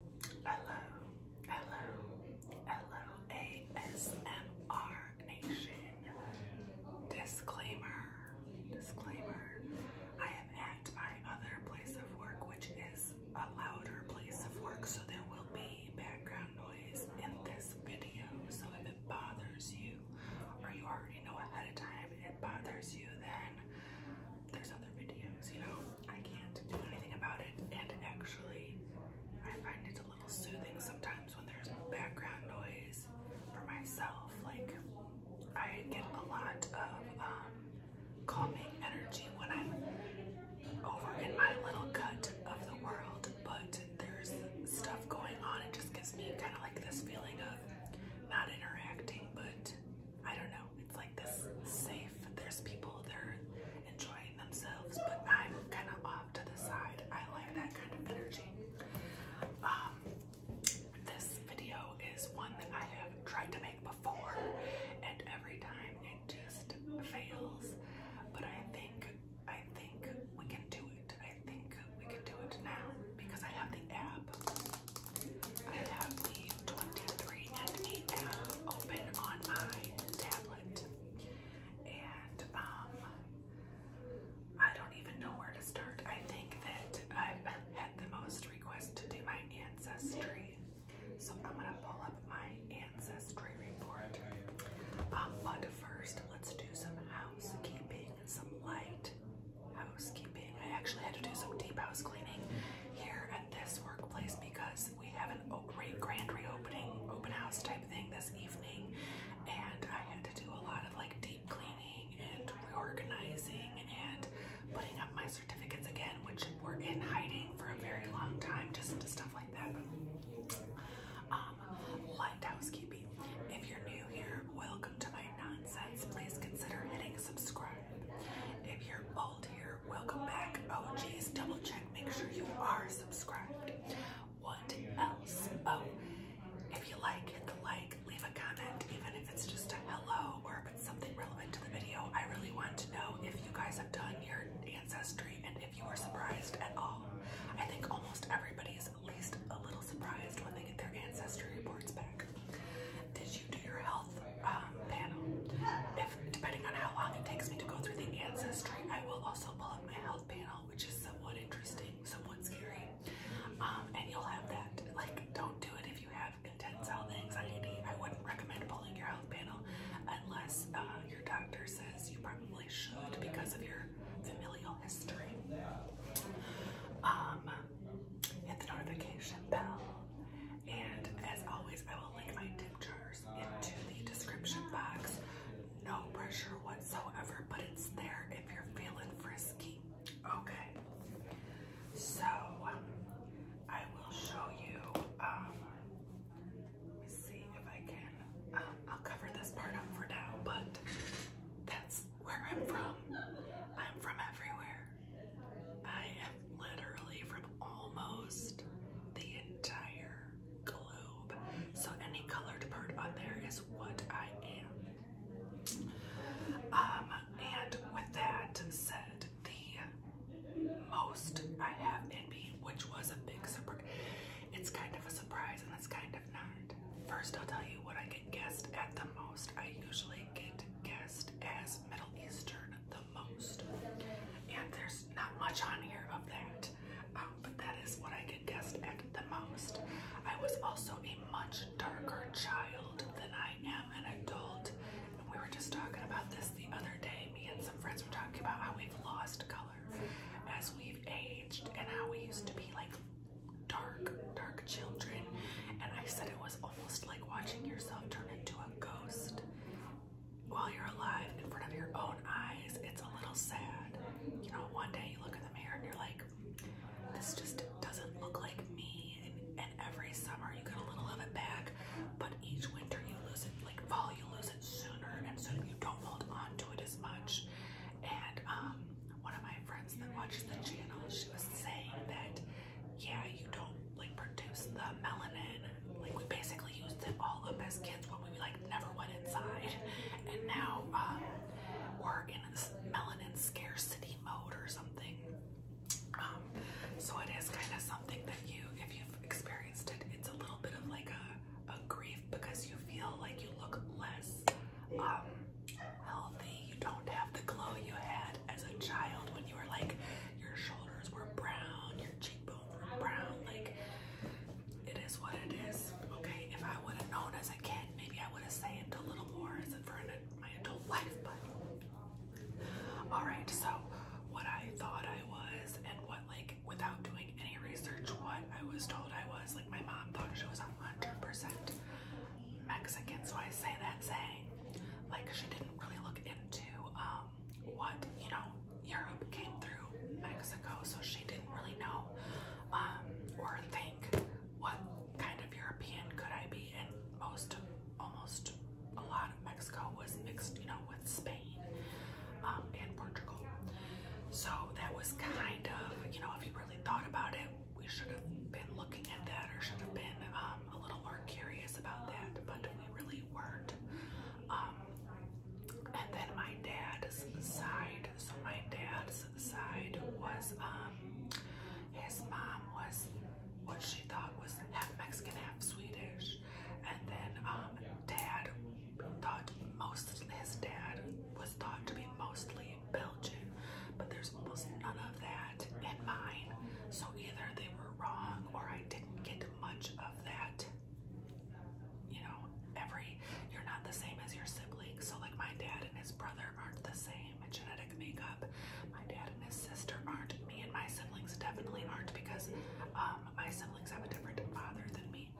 Hello, hello, hello, ASMR Nation. Disclaimer, disclaimer. I am at my other place of work, which is a louder place of work, so there will be background noise in this video. So if it bothers you, or you already know ahead of time it bothers you, then there's other videos, you know. I can't do anything about it, and actually, I find it's a little soothing sometimes when there's background noise for myself. Like, I get a lot of um, calming energy when I'm over in my little cut of the world, but there's stuff going on. It just gives me kind of like this feeling of not interacting, but I don't know it's like this safe. There's people that are enjoying themselves, but I'm kind of off to the side. I like that kind of energy. Um, this video is one that I have tried to make before, and every time it just fails. But I think I think we can do it. I think we can do it now because I have the app. I have the 23 and app open on my tablet. And um, I don't even know where to start. I think that I've had the most requests to do my ancestry. So I'm gonna pull up my ancestry report. Um, but first let's do some housekeeping, some light housekeeping. I actually had to do some deep house cleaning here at this workplace because we have a great grand reopening open house type thing this evening, and I had to do a lot of like deep cleaning and reorganizing and putting up my certificates again, which were in hiding for a very long time, just stuff like that. Um, light housekeeping. If you're new here, welcome to my nonsense. Please consider hitting subscribe if you're old here, welcome back. Oh geez, double check, make sure you are subscribed. What else? Oh, if you like, hit the like, leave a comment, even if it's just a hello or something relevant to the video. I really want to know if you guys have done your ancestry and if you were surprised at all. I think almost everybody is at least a little surprised when they get their ancestry reports back. Did do your health um, panel. If depending on how long it takes me to go through the ancestry, I will also pull up my health panel, which is somewhat interesting, somewhat scary. Um, and you'll have that. Like, don't do it if you have intense health anxiety. I wouldn't recommend pulling your health panel unless uh, your doctor says you probably should because of your familial history. Um, hit the notification bell. And as always, I will link my tip jars into the description box. No pressure whatsoever, but it's there if you're feeling frisky. Okay. So I will show you. Um, let me see if I can. Um, I'll cover this part up for now, but that's where I'm from. I'm from everywhere. I am literally from almost the entire globe. So any colored bird on there is what I am. Um, and with that said, the most I have been, me, which was a big surprise. It's kind of a surprise and it's kind of not. First, I'll tell you what I get guessed at the most. I usually get guessed as Middle Eastern the most. And there's not much on here of that, um, but that is what I get guessed at the most. I was also a much darker child than I am an adult. And we were just talking about this the other day. Me and some friends were talking about how we've lost color as we've aged and how we used to be like dark, dark children. And I said it was it's almost like watching yourself turn into a ghost while you're alive in front of your own eyes. It's a little sad. You know, one day you look in the mirror and you're like, this just doesn't look like me. And, every summer you get a little of it back, but each winter you lose it, like fall, you lose it sooner, and so you don't hold on to it as much. And um, one of my friends that watches the channel, she was saying that yeah, you don't like produce the melanin. Like we basically used it all up as kids when we like never went inside, and now um, we're in this melanin scarcity mode or something. Um, so it is kind of something that you, if you've experienced it, it's a little bit of like a, a grief because you feel like you look less um, healthy. You don't have the glow you had as a child when you were like, your shoulders were brown, your cheekbones were brown. Like, it is what it is. Okay, if I would have known as a kid, maybe I would have saved a little more as for my adult life. But all right, so what I thought I was, and what like without doing any research, what I was told I was. Like, my mom thought she was a hundred percent Mexican, so I say that saying like she didn't really look into um, what you know Europe came through Mexico, so she didn't really know um, or think what kind of European could I be, and most almost a lot of Mexico was mixed, you know, with Spain um, and Portugal. So that was kind of, you know, if you really thought about it, we should have been looking at that or should have been um, a little more curious about that, but we really weren't. Um, and then my dad's side, so my dad's side was, um, his mom was what she thought was half Mexican, half Swedish. And then um, dad thought most, his dad was thought to be mostly Italy Belgium, but there's almost none of that in mine. So either they were wrong or I didn't get much of that. You know, every you're not the same as your siblings. So like my dad and his brother aren't the same in genetic makeup. My dad and his sister aren't. Me and my siblings definitely aren't because um, my siblings have a different father than me.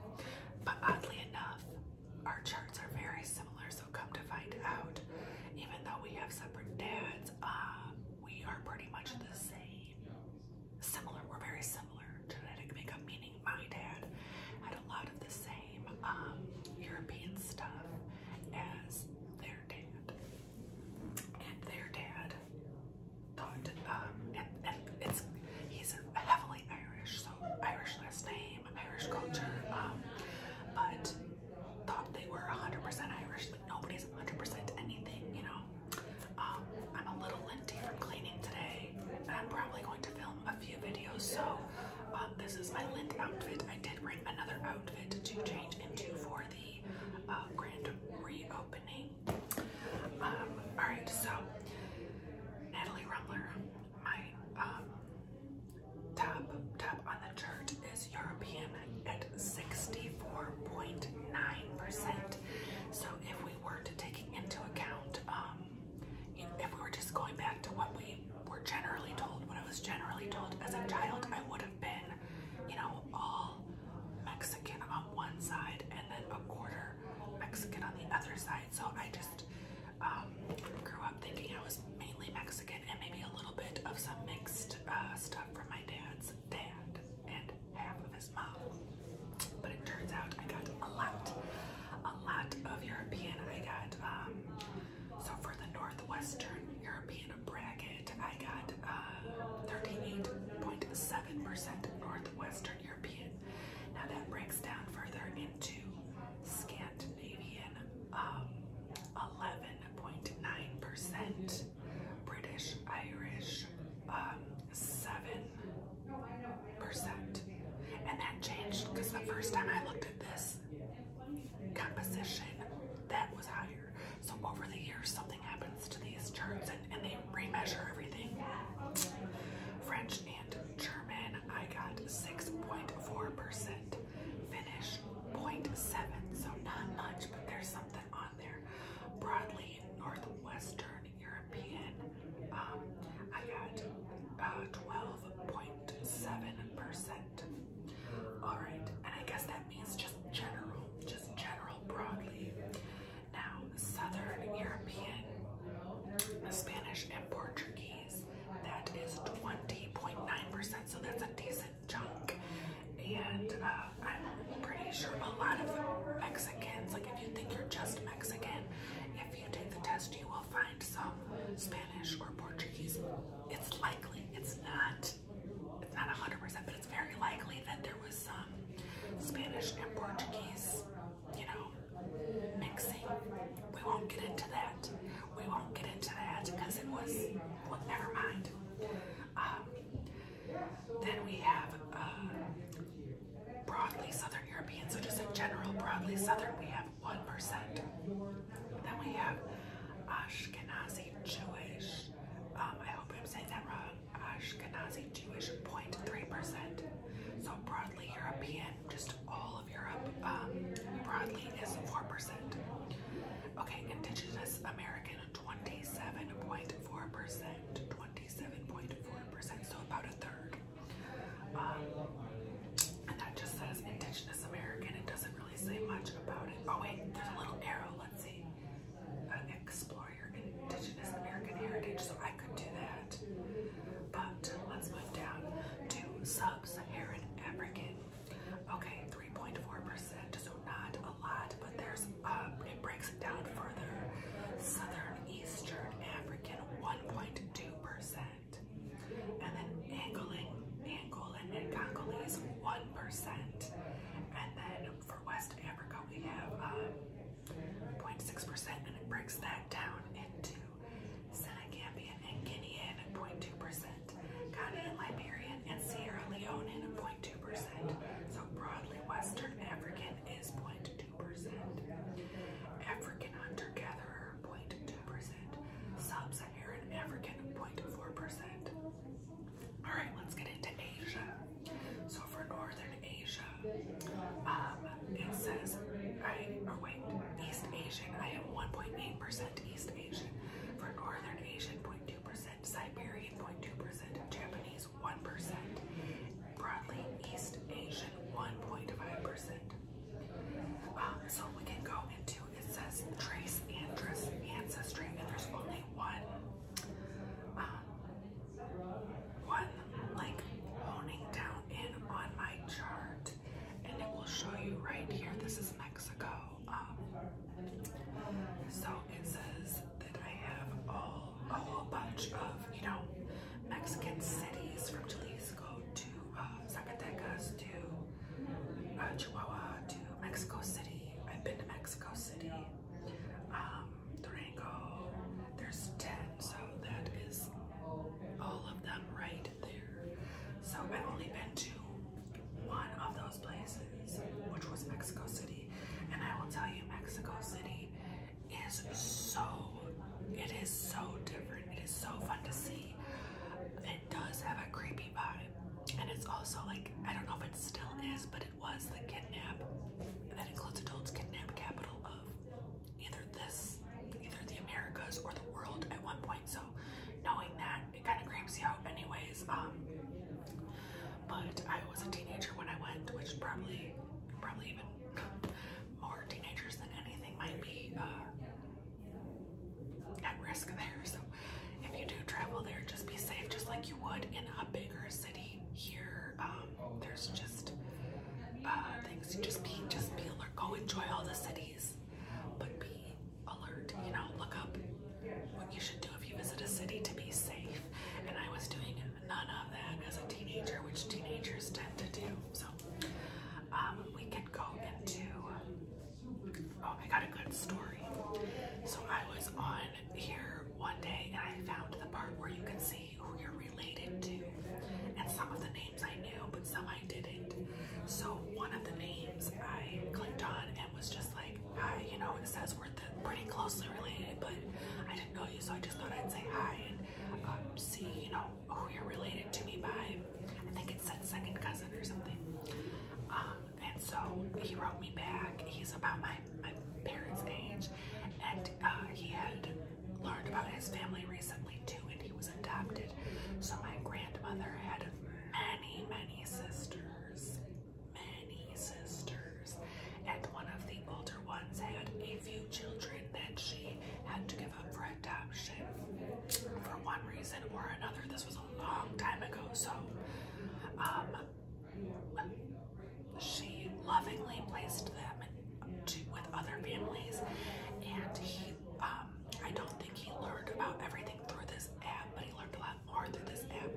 But oddly enough, our charts are very similar come to find out, even though we have separate dads, uh, we are pretty much the same. Similar, we're very similar. Genetic makeup, meaning my dad had a lot of the same um, European stuff as their dad. And their dad um, and, and it's, he's heavily Irish, so Irish last name, Irish culture, um, but thought they were 100% Irish. Like nobody's 100% anything, you know. Um, I'm a little linty from cleaning today, and I'm probably going to film a few videos. So um, this is my lint outfit. I did bring another outfit to change into for the uh, grand reopening. Um, all right, so Natalie Rumbler my um, top top on the chart is European at 64.9%. So if we were to take into account, um, if we were just going back to what we were generally told, what I was generally told as a child, I would have been, you know, all Mexican on one side and then a quarter Mexican on the other side. So I just um, grew up thinking I was mainly Mexican and maybe a little bit of some mixed uh, stuff from my dad's dad and half of his mom. But it turns out I got a lot, a lot of European. I got, um, so for the Northwestern European bracket, I got 38.7% uh, Northwestern European. Now that breaks down further into Scandinavian, 11.9%, um, British, Irish, 7%. Um, and that changed because the first time I looked at this composition, that was higher. So over the years, something happens to these charts and, they re-measure everything. French and German, I got 6.4% finish 0.7, so not much, but there's something on there. Broadly Northwestern European, um, I got 12.7%. Uh, All right, and I guess that means just general, just general broadly. Now, Southern European, Spanish and Portuguese. That is 20.9%, so that's a decent chunk. And uh, I'm pretty sure a lot of Mexicans, like if you think you're just Mexican, if you take the test, you will find some Spanish or Portuguese. It's likely, it's not, it's not 100%, but it's very likely that there was some Spanish and Portuguese, you know, mixing. We won't get into that. We won't get into that because it was, well, never mind. Um, then we have uh, broadly Southern Europeans. so just in general, broadly Southern, we have 1%. Then we have Ashkenazi Jewish, um, I hope I'm saying that wrong, Ashkenazi Jewish, 0.3%. So broadly European, just all of Europe um, broadly is 4%. Okay, Indigenous American 27.4%, 27.4%, so about a third. Um, and that just says Indigenous American. It doesn't really say much about it. Oh wait, there's a little arrow. Let's see. Uh, explore your Indigenous American heritage. So I could do that. But let's move down to sub sub-Saharan African. Okay, 3.4%, so not a lot, but there's, it breaks it down further. Southern Eastern African, 1.2%. And then Angolan, Angolan and Congolese, 1%. And then for West Africa, we have 0.6%, uh, and it breaks that down into Senegambian and Guinean at 0.2%, Ghanaian, Liberian, and Sierra Leonean at 0.2%. So broadly, Western African is 0.2%. African hunter-gatherer, 0.2%. Sub-Saharan African, 0.4%. All right, let's get into Asia. So for Northern Asia, um, it says I or wait, East Asian. I am 1.8% East Asian. For Northern Asian, 0.2%, Siberian 0.2%, Japanese 1%, broadly East Asian 1.5%. Uh, um, so we can go into it says trace ancestry, and there's only one. Um, one like honing down in on my chart and it will show you right here. This is Mexico. Um, so it says that I have all a whole bunch of you know Mexican cities from Jalisco to uh, Zacatecas to uh, Chihuahua to Mexico City. I've been to Mexico City, um, Durango. There's ten so that is all of them right there. So I've only been to one of those places, which was Mexico City. And I will tell you, Mexico City is so, it is so different. It is so fun to see. It does have a creepy vibe. And it's also like, I don't know if it still is, but it was the kidnap, that includes adults kidnap capital of either this, either the Americas or the world at one point. So knowing that, it kind of creeps you out anyways. Um, but I was a teenager when I went, which probably, probably even more teenagers than anything might be uh, at risk there. So if you do travel there, just be safe, just like you would in a bigger city here. Um, there's just uh, things. Just be, just be alert. Go enjoy all the cities, but be alert. You know, look up what you should do if you visit a city to be safe. And I was doing none of that as a teenager, which teenagers tend to do. So um, we could go into. Oh, I got a good story. So I was on here one day and I found the part where you can see see who you're related to. And some of the names I knew, but some I didn't. So one of the names I clicked on and was just like, hi, you know, it says we're pretty closely related, but I didn't know you, so I just thought I'd say hi and um, see, you know, who you're related to me by. I think it said second cousin or something. Um, and so he wrote me back. He's about my, my parents' age, and uh, he had learned about his family recently too, and he was adopted. So my grandmother had many, many sisters, many sisters, and one of the older ones had a few children that she had to give up for adoption for one reason or another. This was a long time ago, so um, she lovingly placed them with other families, and he, um, I don't think he learned about everything through this app, but he learned a lot more through this app.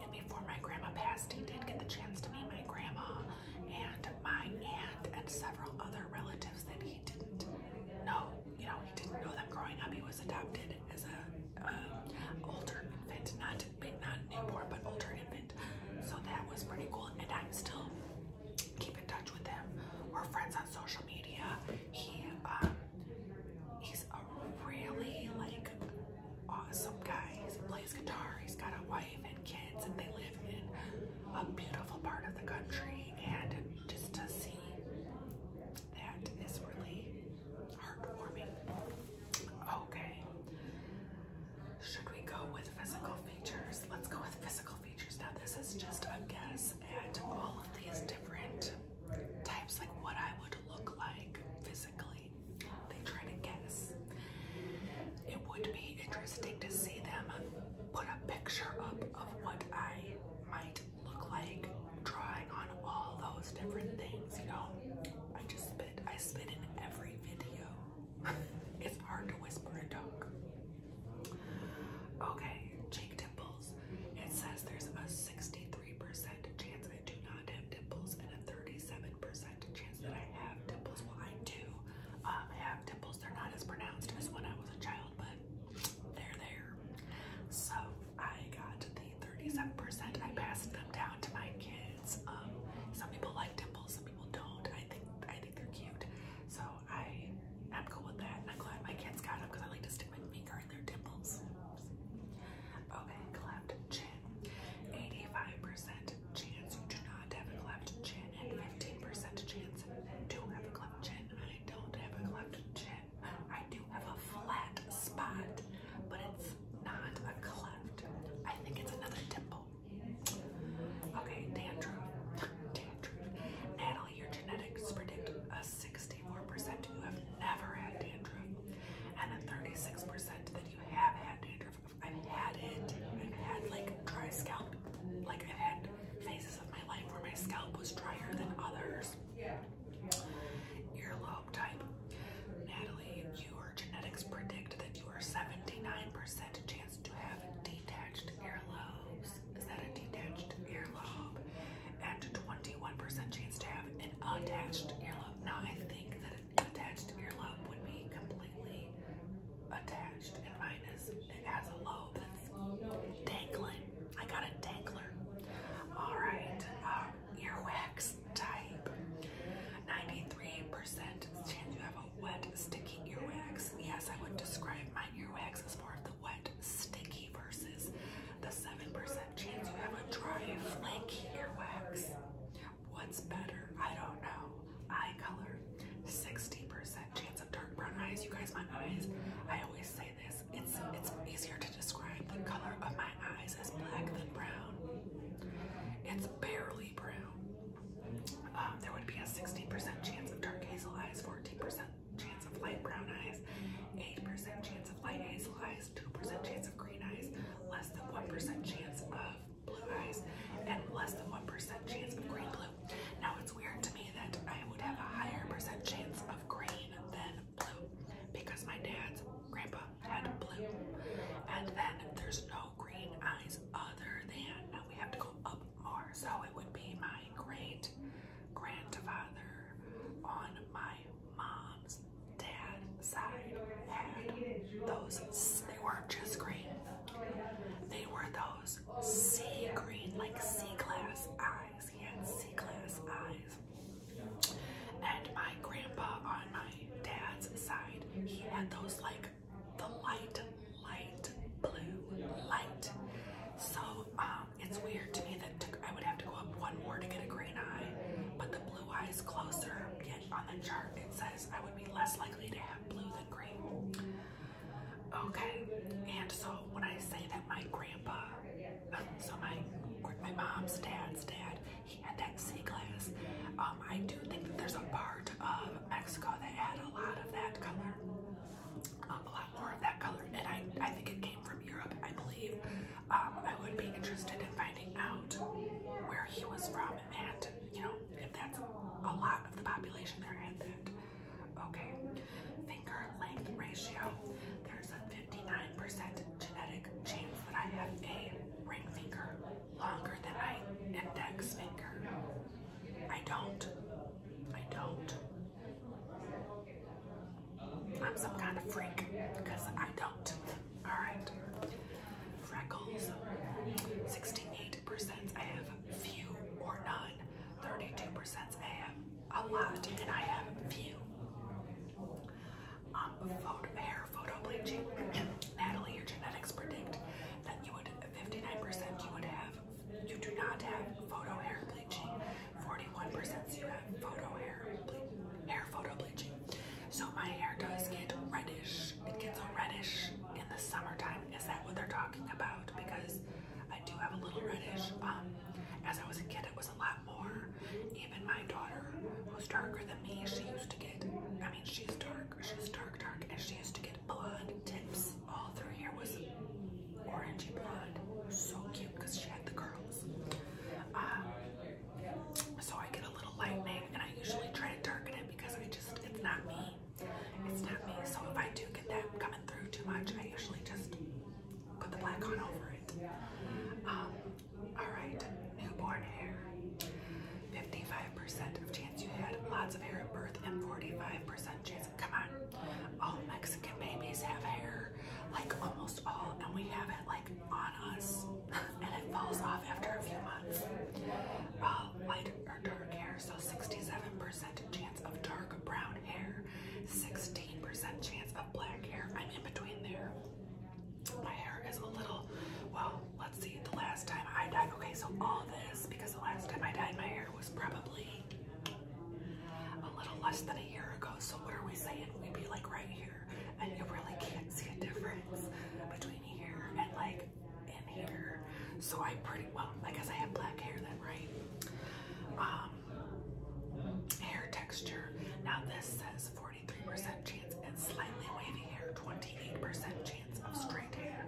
And before my grandma passed, he did get the chance to meet my grandma and my aunt and several other relatives that he didn't know. You know, he didn't know them growing up. He was adopted as an um, older infant, not not newborn, but older infant. So that was pretty cool. And I'm still keep in touch with him. We're friends on social media. He um, he's a really like awesome guy. He plays guitar. He's got a wife and kids and they live in a beautiful part of the country and just to see that is really heartwarming. Okay. Should we go with physical features? Let's go with physical features. Now, this is just a guess at all of these different types, like what I would look like physically. They try to guess. It would be interesting to see them put a picture up of what I might look like, drawing on all those different things, you know? I just spit, I spit in every video it's hard to whisper and talk. Okay, cheek dimples. It says there's a 63% chance I do not have dimples and a 37% chance that I have dimples. Well, I do um, have dimples. They're not as pronounced as when I was a child, but they're there. So I got the 37%. I passed them down to my kids. Um, some people like dimples, some people don't. I think I think they're cute, so I am cool with that. I'm glad my kids got them because I like to stick my finger in their dimples. Okay, cleft chin. 85% chance you do not have a cleft chin, and 15% chance do have a cleft chin. I don't have a cleft chin. I do have a flat spot, but it's not a cleft. I think it's another dimple. Oh. Okay, dandruff. dandruff. Natalie, your genetics predict a 64% you have never had dandruff and a 36% that you have had dandruff. I've had it. I've had like dry scalp. Like I've had phases of my life where my scalp was drier than others. Earlobe type. Natalie, your genetics predict that you are 79% chance to have detached earlobes. Is that a detached earlobe? And 21% chance to have an attached earlobe. Now, I think that an attached earlobe would be completely attached, and minus it has a lobe that's dangling. I got a dangler. All right, um, earwax type. 93% chance you have a wet, sticky earwax. Yes, I would describe my earwax as more of the wet, sticky versus the 7% chance you have a dry, flaky earwax. What's better? I don't know. Eye color. 60% chance of dark brown eyes. You guys, my eyes, I always say this. It's it's easier to describe the color of my eyes as black than brown. It's barely brown. Um, there would be a 60% chance of dark hazel eyes, 14% chance of light brown eyes, 8% chance of light hazel eyes, 2% chance of green eyes, less than 1% chance of blue eyes, and less than 1% chance of green blue. Now it's weird to me that I would have a higher percent chance of green than blue because my dad's grandpa and blue. And then there's no green eyes other than, we have to go up more. So it would be my great grandfather on my mom's dad side had those, they weren't just green. They were those sea green, like sea glass eyes. He had sea glass eyes. And my grandpa on my dad's side, he had those like the light, light blue light. So um, it's weird to me that I would have to go up one more to get a green eye, but the blue eye is closer. Yet on the chart it says I would be less likely to have blue than green. Okay, and so when I say that my grandpa, uh, so my my mom's dad's dad, he looking at sea glass. I do think that there's a part of Mexico that had a lot of that color, um, a lot more of that color, and I, I think it came from Europe, I believe. Um, I would be interested in finding out where he was from and, you know, if that's a lot of the population there had that. Okay, finger length ratio. There's a 59% genetic chance that I have a ring finger longer than I index finger. I don't. I don't. I'm some kind of freak because I don't. Alright. Freckles 68%. I have few or none. 32%. I have a lot and I have few um, photo, hair photo bleaching. Natalie, your genetics predict that you would 59% you would have, you do not have photo hair bleaching. 41% you have photo hair ble hair photo bleaching. So my hair does get reddish. It gets reddish in the summertime. Is that what they're talking about? Because I do have a little reddish. Um, as I was a kid, it was a lot more, even my daughter, who's darker than me, she used to get, I mean, she's dark, she's dark, dark, and she used to get blood tips. All through here was orangey blood, So cute because she had the curls. Um, so I get a little lightning, and I usually try to darken it because I just, it's not me. It's not me. So if I do get that coming through too much, I usually just put the black on over it. Um, Alright, newborn hair. 55% of chance you had lots of hair at birth and 45% chance. Come on. All Mexican babies have hair, like almost all, and we have it like on us. and it falls off after a few months. All light or dark hair, so 67% chance of dark brown hair, 16% chance of black hair. I'm in between there. My hair is a little, well, let's see, the last time I dyed, okay, so all this, because the last time I dyed my hair was probably a little less than a year ago, so what are we saying? We'd be like right here, and you really can't see a difference between here and like in here. So I pretty, well, I guess I have black hair then, right? Um, hair texture, now this says 40 43% chance at slightly wavy hair, 28% chance of straight hair,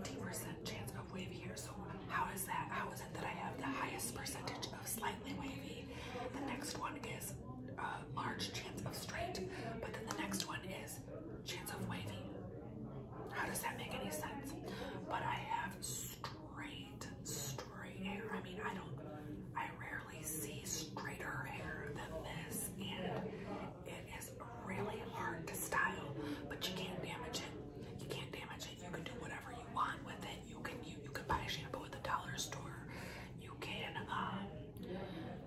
19% chance of wavy hair. So how is that? How is it that I have the highest percentage of slightly wavy? The next one is a uh, large chance of straight, but then the next one is chance of wavy. How does that make any sense? But I have straight, straight straight hair. I mean, I don't, I rarely see straighter hair than this, and it is really hard to style, but you can't damage it. You can't damage it. You can do whatever you want with it. You can you, can buy shampoo at the dollar store. You can um,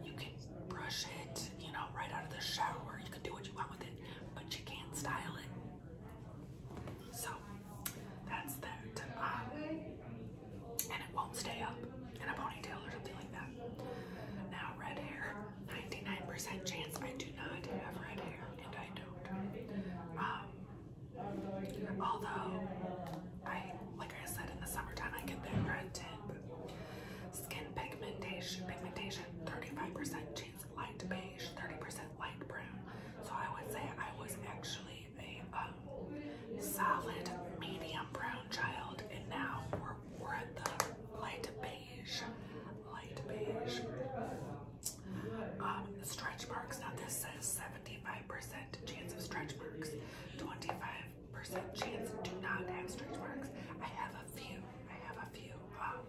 you can brush it, you know, right out of the shower. You can do what you want with it, but you can't style it. So that's that. Um, and it won't stay up in a ponytail or something like that. Now, red hair 99% chance I do not have red hair, and I don't. Um, although, I like I said, in the summertime, I get that red tip. Skin pigmentation, pigmentation 35% chance light beige, 30% light brown. So I would say I was actually a solid medium brown child, and now we're, we're at the light beige, light beige. Um, stretch marks. Now this says 75% chance of stretch marks, 25% chance do not have stretch marks. I have a few. I have a few. Um,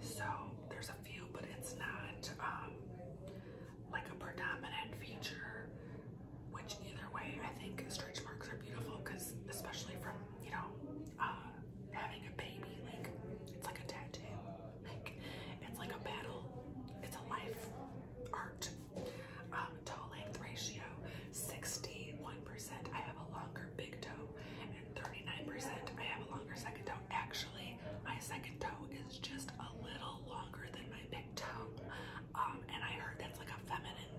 so there's a few, but it's not. Um, like a predominant feature, which either way, I think stretch marks are beautiful because especially from, you know, uh, having a baby, like it's like a tattoo, like it's like a battle, it's a life art. Um, toe length ratio, 61%. I have a longer big toe and 39%. I have a longer second toe. Actually, my second toe is just a little longer than my big um, and I heard that's like a feminine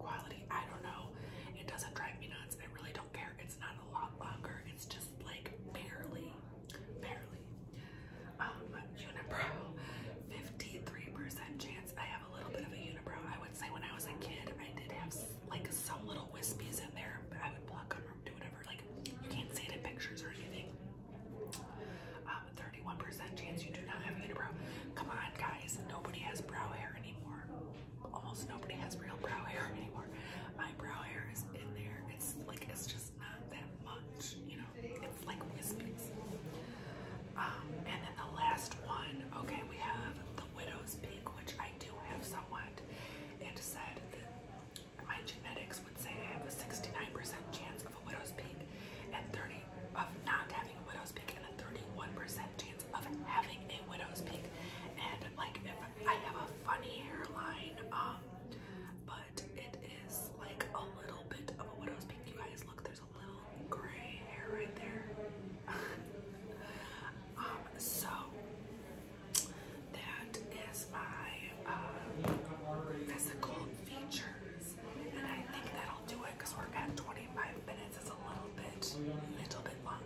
quality. I don't know. It doesn't drive me nuts. I really don't care. It's not a lot longer. It's just like barely, barely. Um, unibrow, 53% chance. I have a little bit of a unibrow. I would say when I was a kid, I did have like some little wispies in there. I would block them or do whatever. Like you can't see it in pictures or anything. 31% um, chance you do not have unibrow. Come on, guys. Nobody has brow hair anymore. Almost nobody has real brow hair anymore. My brow hair is in there. It's like, it's just not that much, you know? It's like wispies. Um, and then the last one, okay, we have the widow's peak, which I do have somewhat. It said that my genetics would say I have a 69% chance of a widow's peak and 30 of not having a widow's peak and a 31% chance of having a widow's peak. And like if I have a funny hairline, um, but it is like a little bit of a widow's peak. You guys look, there's a little gray hair right there. um, so that is my uh, physical features, and I think that'll do it because we're at 25 minutes. It's a little bit, little bit long,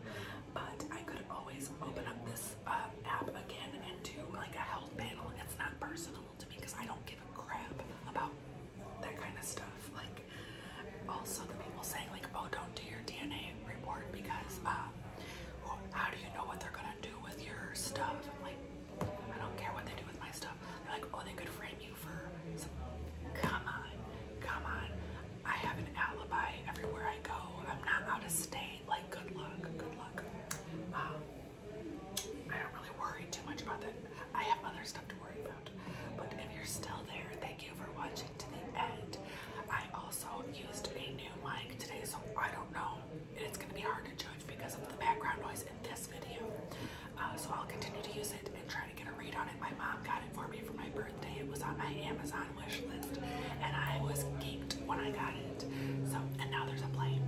but I could always open up this uh, app again and do like a health panel. It's not personal to me because I don't give a crap about that kind of stuff. Like, also the people saying like, oh, don't do your DNA report because. Uh, how do you know what they're gonna do with your stuff? I'm like, I don't care what they do with my stuff. They're like, oh, they could frame you for. Some... Come on, come on. I have an alibi everywhere I go. I'm not out of state. Like, good luck, good luck. Um, I don't really worry too much about that. I have other stuff to worry about. But if you're still there, thank you for watching to the end. I also used a new mic today, so I don't know it's going to be hard to judge because of the background noise in this video. Uh, so I'll continue to use it and try to get a read on it. My mom got it for me for my birthday. It was on my Amazon wish list, and I was geeked when I got it. So, and now there's a play.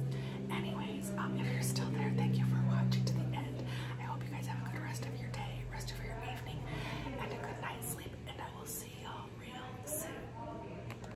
Anyways, um, if you're still there, thank you for watching to the end. I hope you guys have a good rest of your day, rest of your evening, and a good night's sleep. And I will see y'all real soon.